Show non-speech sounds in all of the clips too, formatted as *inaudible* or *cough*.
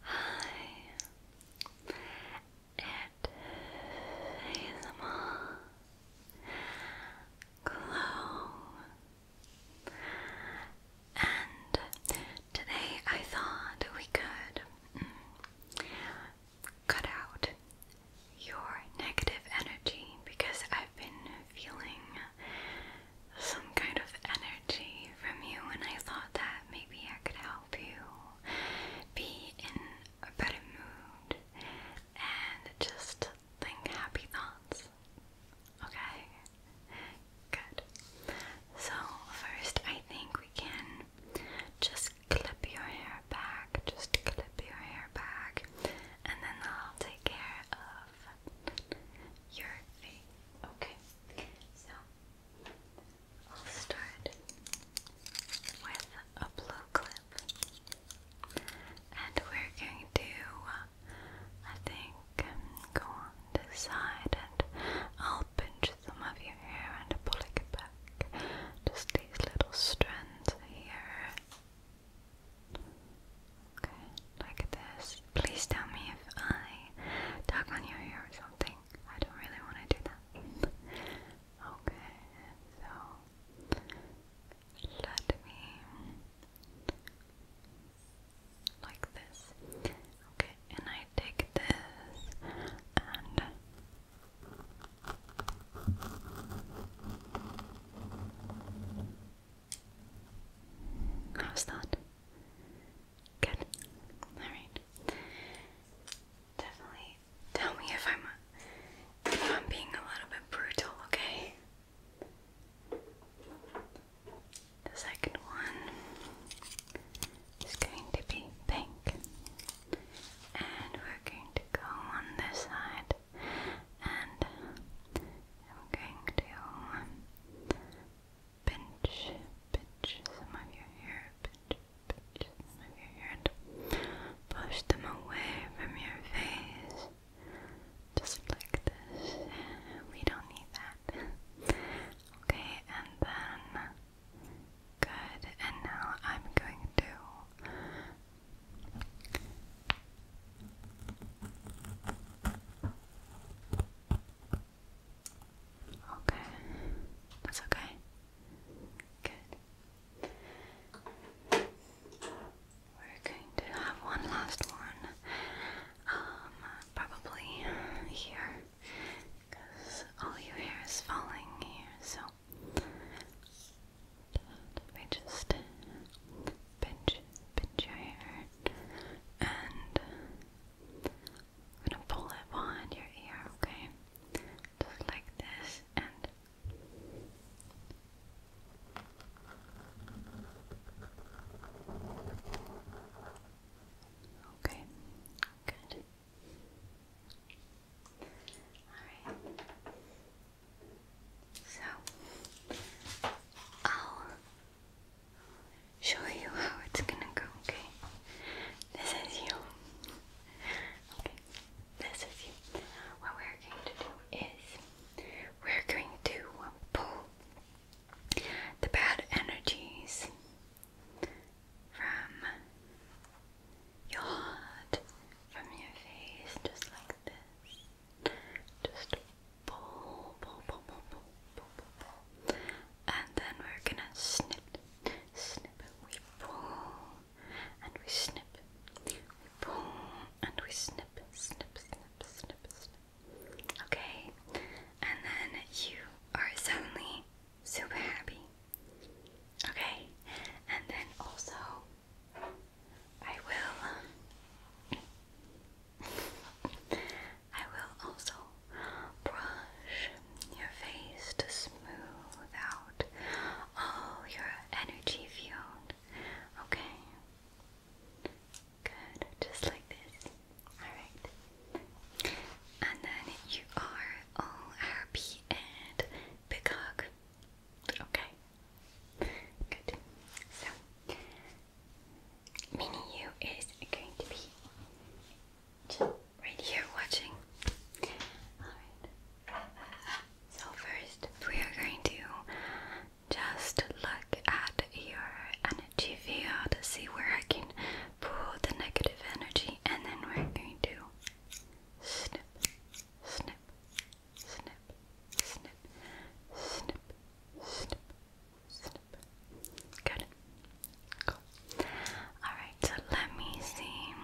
Hi, it is Mom Glow, and today I thought we could mm, cut out your negative energy because I've been feeling some kind of energy from you, and I thought that maybe I could help you be in a better mood and just think happy thoughts. Okay? Good. So, first, I think we can just clip your hair back, just clip your hair back, and then I'll take care of your face. Okay. So I'll start with a blue clip, and we're going to, uh, I think, go on this side, and I'll pinch some of your hair and pull it back. Just these little strands here. Okay, like this. Please tell me if I tug on your hair or something. I don't really want to do that. okay, so let me like this. Okay, and I take this and How's that? Good. Alright. Definitely tell me if I'm if I'm being a little bit brutal, okay? The second one is going to be pink. And we're going to go on this side and I'm going to pinch, pinch some of your hair, pinch, pinch some of your hair, and push them away from your face, just like this. We don't need that. okay, and then good. And now I'm going to. Okay, that's okay. Good. We're going to have one last one, um, probably here, because all your hair is falling here, so let just pinch, pinch your hair and I'm gonna pull it behind your ear, okay? Just like this, and okay, good. All right. So i show you how it's gonna go, okay? This is you. Okay, this is you. What we're going to do is we're going to pull the bad energies from your heart, from your face, just like this. Just and then we're gonna snip, snip, we pull, and we snip, we pull, and we snip, snip, snip, snip, snip. Okay? And then you are suddenly super happy. Okay? And then also, I will. *laughs* I will also brush your face to smooth out all your energy field. Okay? Good. Just like this. Alright. And then you are all happy and big hug. Okay? Good. So, Mini you is going to be right here watching. Alright. So first we are going to just look at your energy field to see where I can pull the negative energy and then we're going to snip, snip, snip, snip, snip, snip, Good. Cool. Alright, so let me see.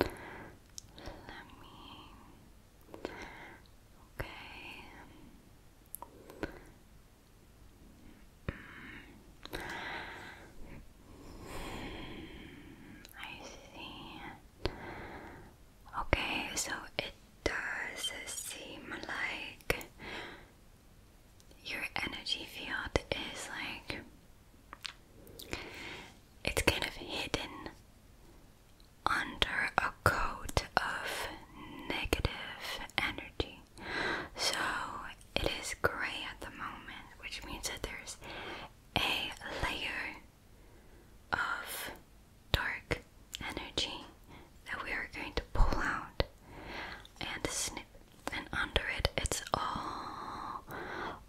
Let me. Okay. Mm, I see. Okay, so it does seem like your energy field is like it's kind of hidden under a coat of negative energy. So it is gray at the moment, which means that there's a layer of dark energy that we are going to pull out and snip and under it it's all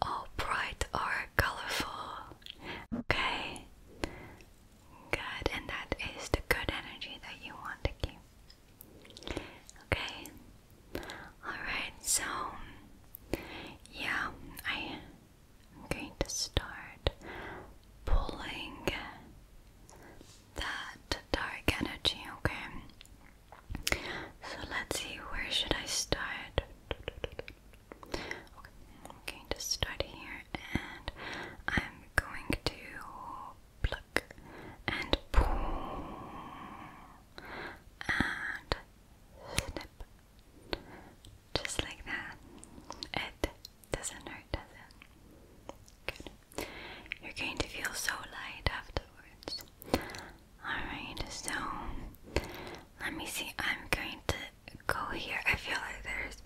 all bright or colorful okay good and that is the good energy that you want to keep okay all right so yeah i I'm going to start pulling that dark energy, okay? So let's see, where should I start? Okay, I'm going to start here and I'm going to pluck and pull and snip. Just like that. It doesn't hurt, does it? Good. You're going to feel so light afterwards. Alright, so let me see. I'm going to go here. I feel like there's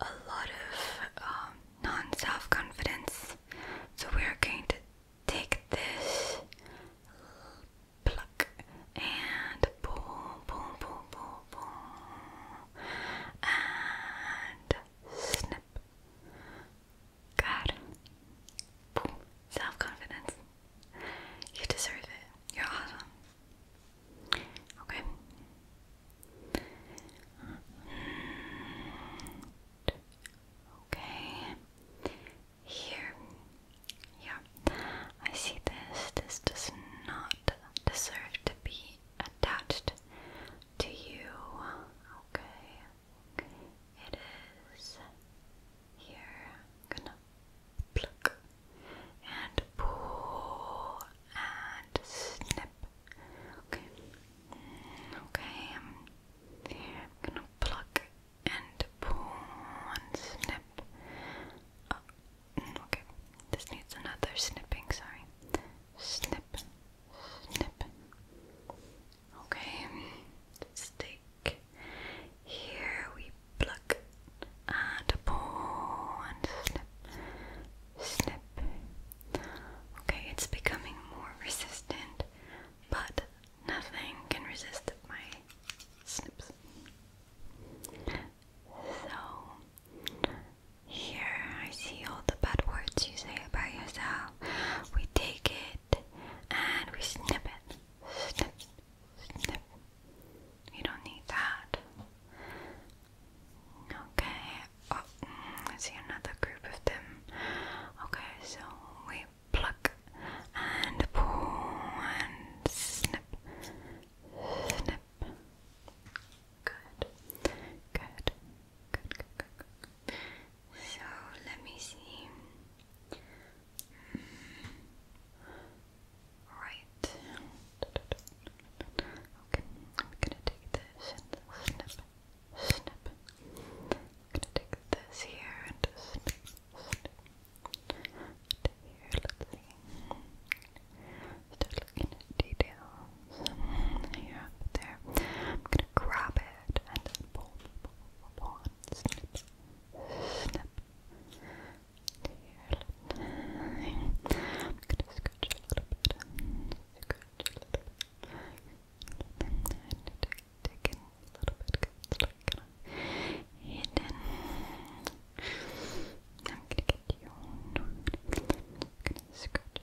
a lot of um, non self confidence. So we're going to take this pluck and pull, pull, pull, pull, pull, and snip. God. Boom. Self confidence. You deserve it. You're awesome. Okay. Okay. Here. Yeah. I see this. This does not deserve to be attached to you. Okay. It is here. gonna pluck and pull and snip. Okay. Okay. i gonna pluck and pull and snip. Uh, mm, okay. This needs another snipping, sorry. Snip snip. Okay, stick. Here we pluck and pull and snip, snip. Okay, it's becoming more resistant, but nothing can resist my snips. So here, I see all the bad words you say about yourself. We take it and we snip it. Snip, snip. You don't need that. Okay, oh, I see another group of them. Okay, so we pluck and pull and snip, snip. Good. Good. Good, good, good, So let me see. Hmm. Right. Okay, I'm gonna take this and snip, snip. I'm gonna take this here and snip, snip. To here, let's see. Start looking at details mm-hmm. here, there. I'm gonna grab it and then pull, pull, pull, pull, and snip, snip. Here, I'm gonna scratch a little bit, scratch a little bit, and then dig, dig in a little bit hidden. I'm gonna you. I'm gonna scratch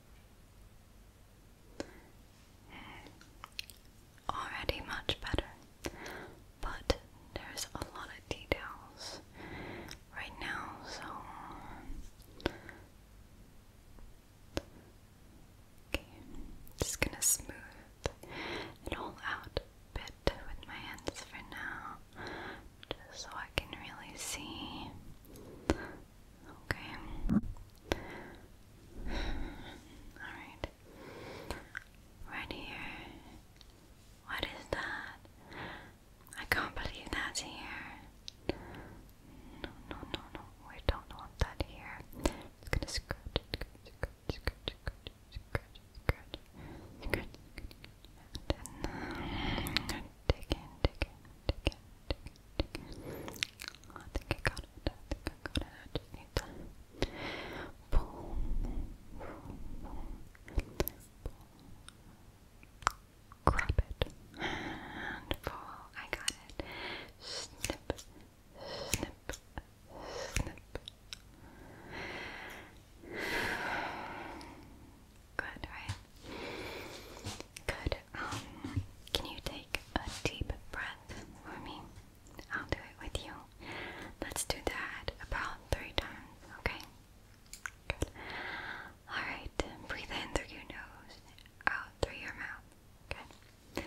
Already much better, but there's a lot of details right now, so okay, just gonna smooth it all out a bit with my hands for now just so I can really see. Okay. Alright. Right here. What is that? I can't believe that's here. No, no, no, no. We don't want that here. It's gonna scratch, then dig in, dig in, dig in, dig in, dig in. I think I got it, I think I got it. pull, pull, pull, pull. Grab it and pull. I got it. Snip, snip, snip. Good, right? Good. Um, can you take a deep breath for me? I'll do it with you. Let's do that about three times, okay? Good. Alright, breathe in through your nose, out through your mouth. Okay.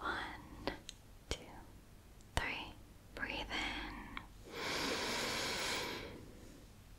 One, two, three. Breathe in.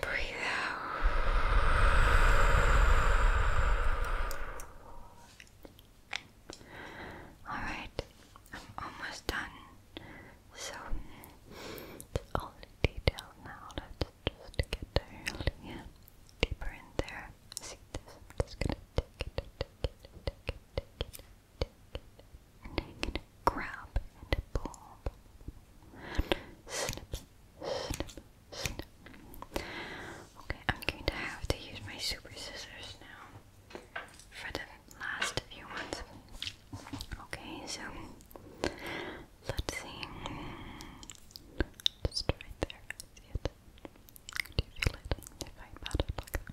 Breathe out. Alright, I'm almost done. So, all the detail now. Let's just get there. Yeah, deeper in there. See this? just gonna take it, take it, take it, take it, take it, take it, grab and pull. Snip, snip, snip. Okay, I'm going to have to use my super scissors now for the last few ones. Okay, so let's see. Just right there, I see it. Do you feel it if I pat it like that?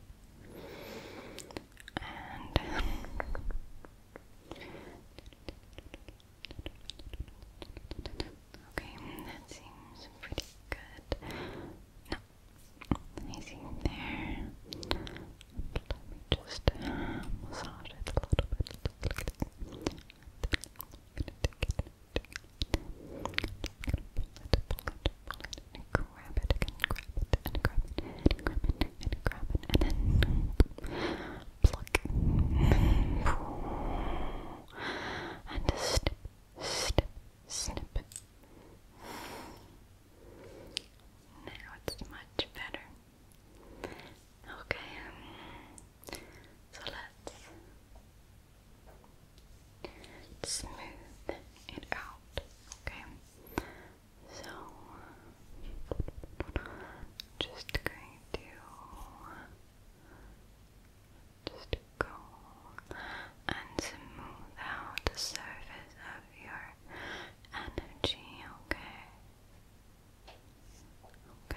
and uh, okay, that seems pretty good. No, there. just uh, massage it a little bit and grab then pluck and snip, snip. Now it's much better. Okay, so let's smooth it out, okay? So, just going to just go and smooth out the surface of your energy, okay? Okay.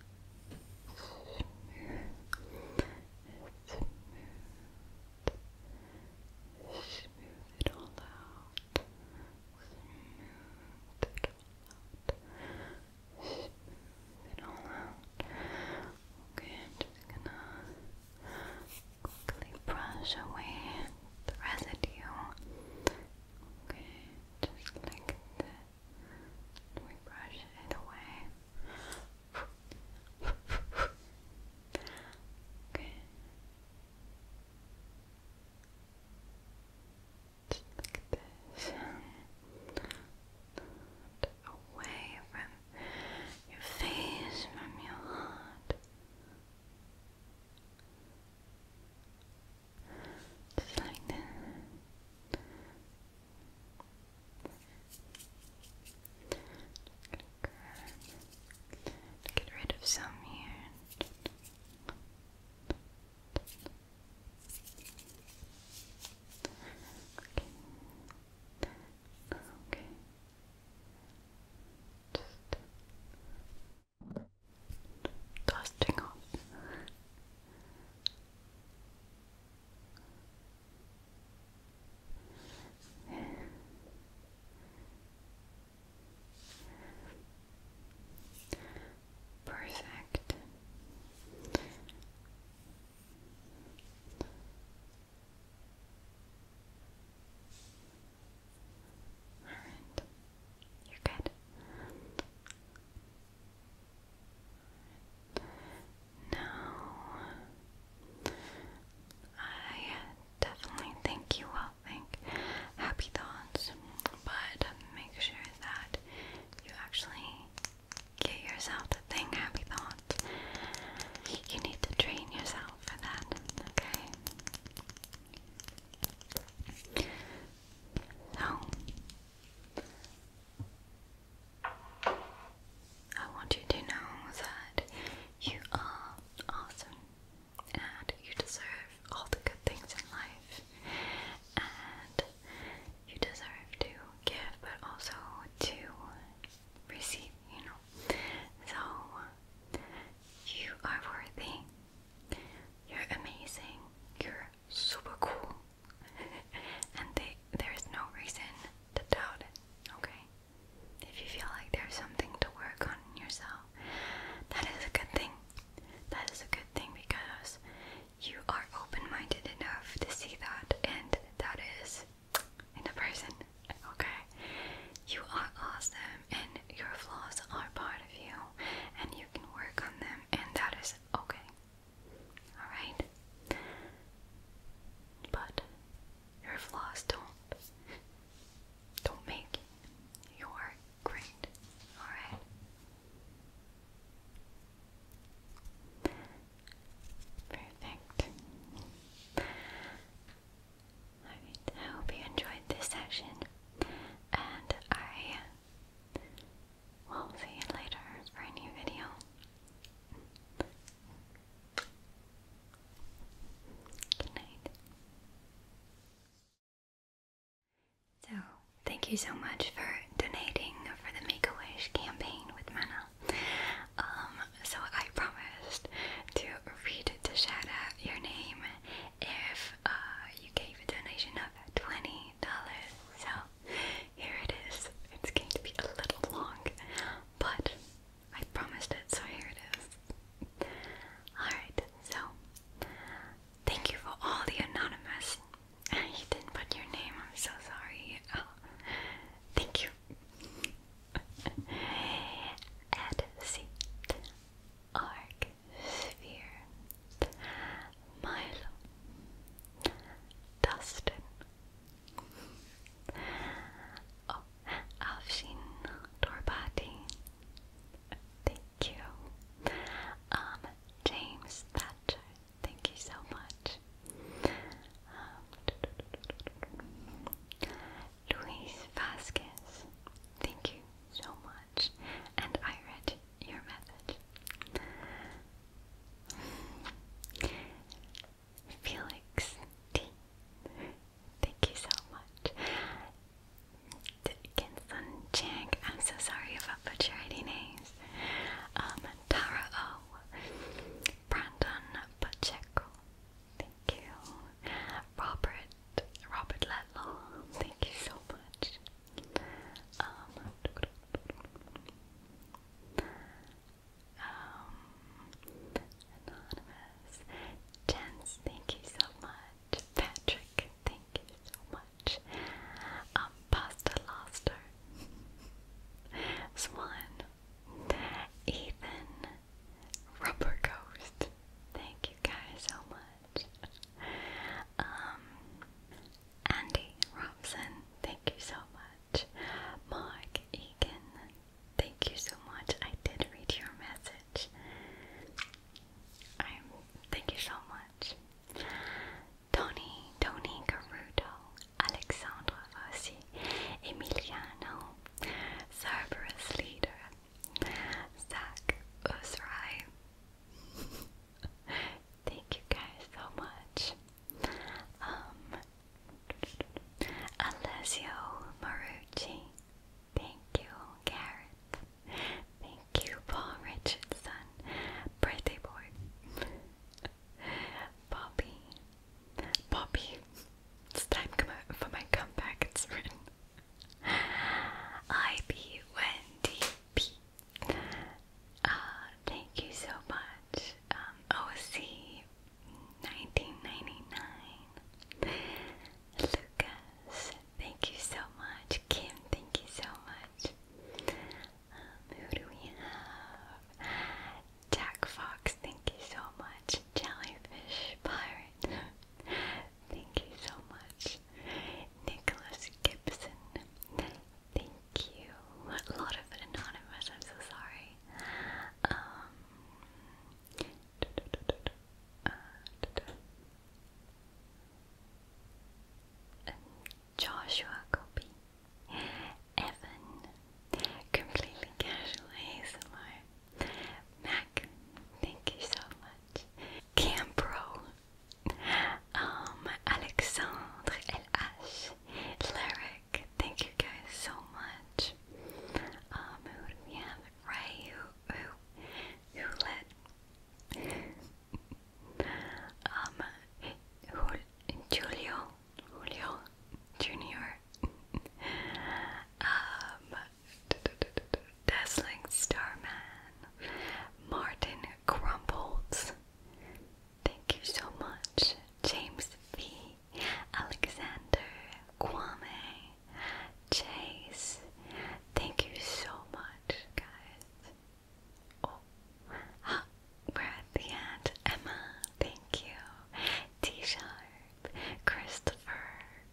smooth, smooth it all out, smooth it all out, smooth it all out. Okay, I'm just gonna quickly brush away the residue. Okay, just like that. We brush it away. okay. Just like this. Away from your face, from your heart. Just like that. Just get rid of some here. Okay. Okay. Just dusting off. Perfect. All right. You're good. No. I definitely think you will think happy thoughts, but make sure that you actually get yourself to think happy thoughts. You need to train yourself for that, okay? So, I want you to know that you are awesome and you deserve all the good things in life and you deserve to give but also to receive, you know. So you are worthy. You're amazing. You're super cool. *laughs* and there is no reason to doubt it, okay? If you feel like there's something to work on in yourself, that is a good thing. That is a good thing because you are open minded enough to see that, and that is in a person, okay? You are awesome, and your flaws are part of you, and you can work on them, and that is okay. Alright? But your flaws don't don't make your great. Alright? Perfect. Alright, I hope you enjoyed this session and I We'll see you later for a new video. Good night. So, thank you so much for donating for the Make a Wish campaign with Mana. Um, so I promised to read to shout your name if uh, you gave a donation of twenty dollars. So here it is. It's going to be a little long, but I promised it, so here it is. Alright, so thank you for all the anonymous. *laughs* You didn't put your name, I'm so sorry. Oh, thank you. *laughs* At C. Arc Sphere. Milo, Dustin, oh, Afshin, Torbati, thank you, um, James Thatcher, thank you so much, um, Luis Vasquez, thank you so much, and I your message. Felix Thank you so much. Kinson Chang, I'm so sorry if I names. Um, Tara O. Brandon Pacheco, thank you. Robert, Robert Letlow, thank you so much. Um, um, thank you so much. Patrick, thank you so much. Um, Pasta Loster. Swan. Ethan. Rubber Ghost. Thank you guys so much. Um, Andy Robson, thank you so much. Mark Egan, thank you so much. I did read your message. I'm thank you so much. Tony, Tony Garudo, Alexandra Rossi, Emiliano, Cerberus Leader, Zach Usrai, *laughs* *laughs* Thank you guys so much. Um, Alessio Marucci. Thank you, Garrett. Thank you, Paul Richardson. Birthday boy. Bobby. Bobby. It's time for my comeback. It's written. I be Wendy P. Uh, thank you so much, um, OC1999, Lucas, thank you so much, Kim, thank you so much, um, who do we have, Jack Fox, thank you so much, Jellyfish Pirate, *laughs* thank you so much, Nicholas Gibson, Thank you. A lot of anonymous, I'm so sorry. Um, uh, Joshua Copy. Evan. Completely casual ASMR. Mac, thank you so much. Campro, um, Alexandre LH, Lyric, thank you guys so much. Um, who do who, let, um, Julio, Julio Junior, um, Starman, Martin Crumbles, Thank you so much, James V, Alexander, Kwame, Chase. Thank you so much, guys. Oh, *gasps* we're at the end. Emma, thank you. T Sharp, Christopher,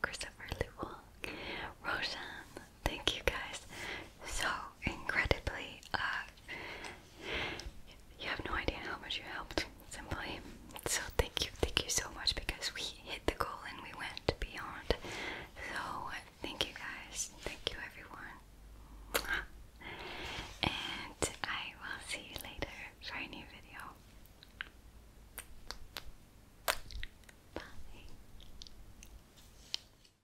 Christopher Lewell, Roseanne, thank you guys so incredibly. Uh, you have no idea how much you helped, simply. So thank you, thank you so much because we hit the goal and we went beyond. So thank you guys, thank you everyone, and I will see you later for a new video. Bye.